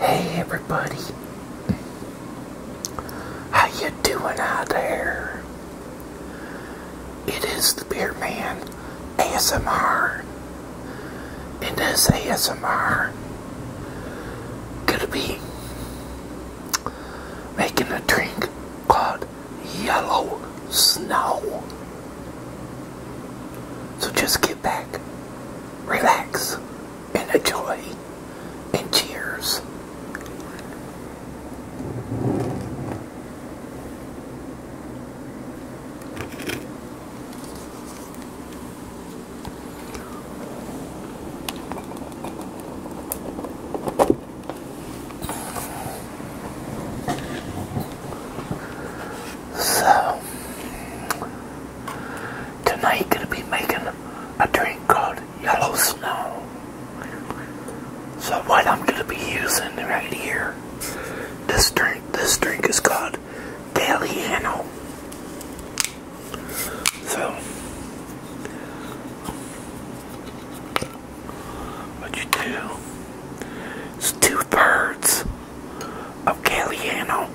Hey everybody, how you doing out there? It is the Beer Man ASMR, and this ASMR gonna be making a drink called Yellow Snow. So just get back, relax, and enjoy, and cheers. So tonight gonna be making a drink called Yellow Snow. So what I'm gonna be using right here, this drink this drink is called Daliano. So what you do? It's two thirds of Galliano.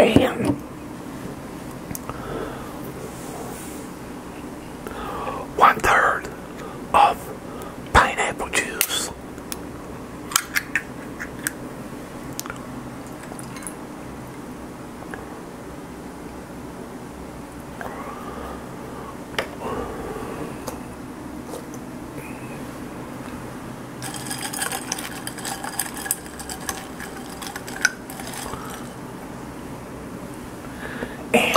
And one third of pineapple juice. And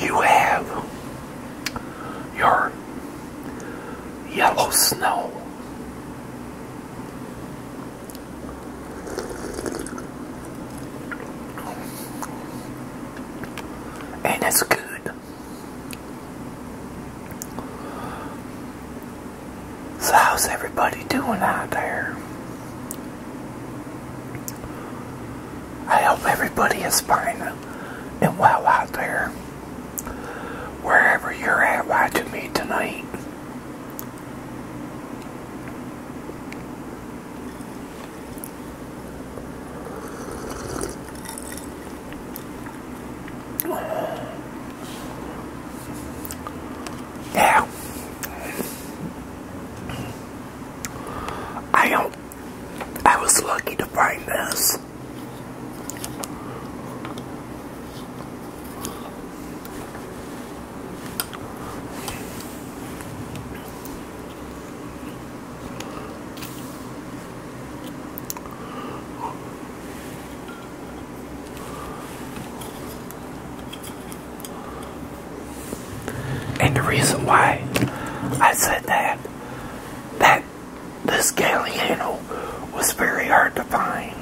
you have your yellow snow. And it's good. So, how's everybody doing out there? I hope everybody is fine and well out there. Wherever you're at watching me tonight. Yeah. I don't I was lucky to find this. And the reason why I said that, that this Galliano was very hard to find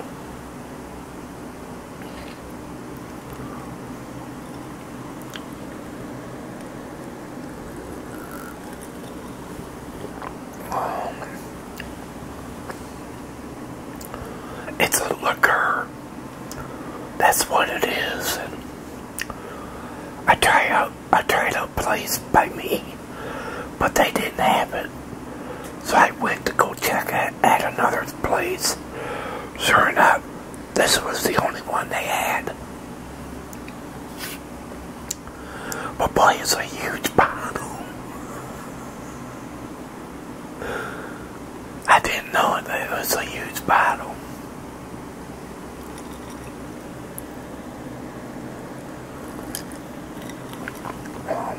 it's a liquor. That's what it is. And I tried out tried out place by me, but they didn't have it. So I went to go check it at, another place. Sure enough, this was the only one they had. But boy, it's a huge bottle. I didn't know it, was a huge bottle. Um,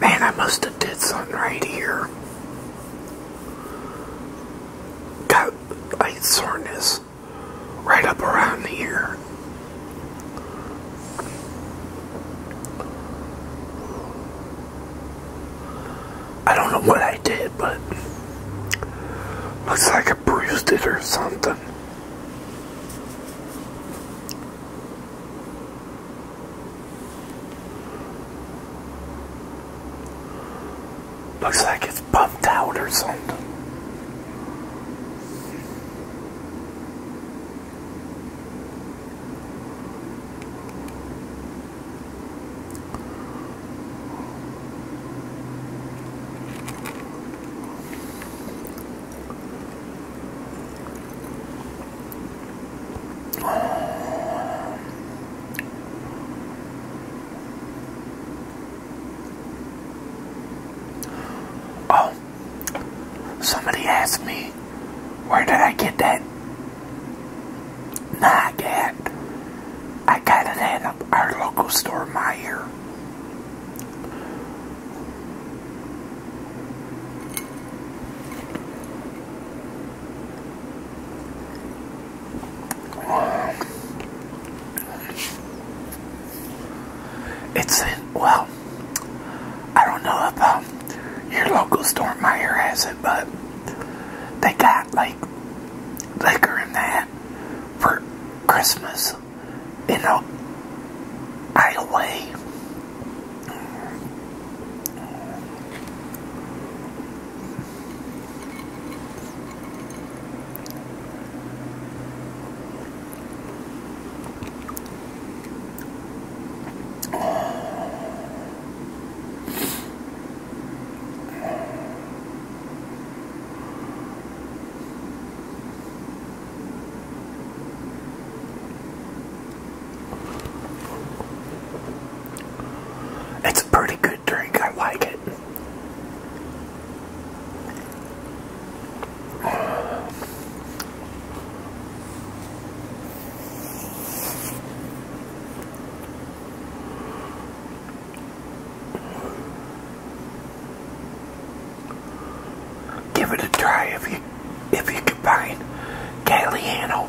Man, I must have did something right here. Got light soreness right up around here. I don't know what I did, but looks like I bruised it or something. Looks like it it's bumped out or something. Oh, somebody asked me where did I get that nag at. I got it at our local store, Meyer. It's in, well, I don't know if um, your local store Meyer has it, but they got like liquor in that for Christmas you know, Iowa. It's a pretty good drink. I like it. Give it a try if you if you can find Galliano.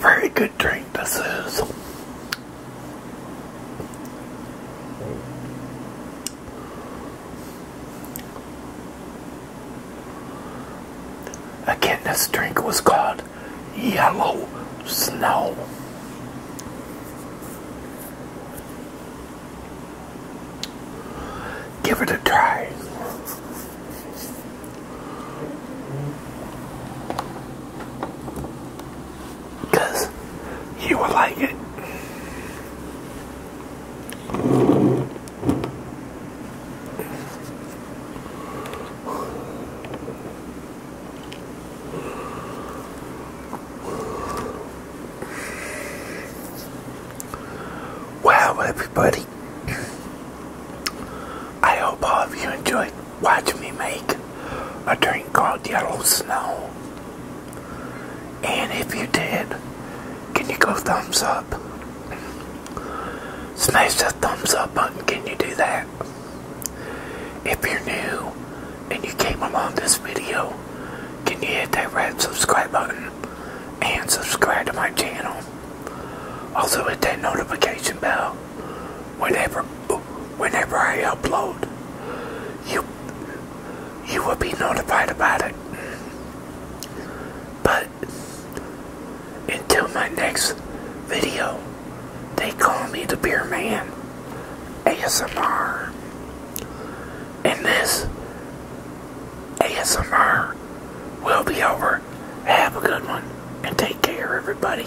Very good drink this is. Again, this drink was called Yellow Snow. Give it a try because you will like it. Wow, everybody. I hope all of you enjoyed watch me make a drink called Yellow Snow. And if you did, can you go thumbs up? Smash that thumbs up button, can you do that? If you're new and you came along this video, can you hit that red subscribe button and subscribe to my channel? Also hit that notification bell whenever whenever I upload, you you will be notified about it. But until my next video, they call me the Beer Man ASMR. And this ASMR will be over. Have a good one and take care, everybody.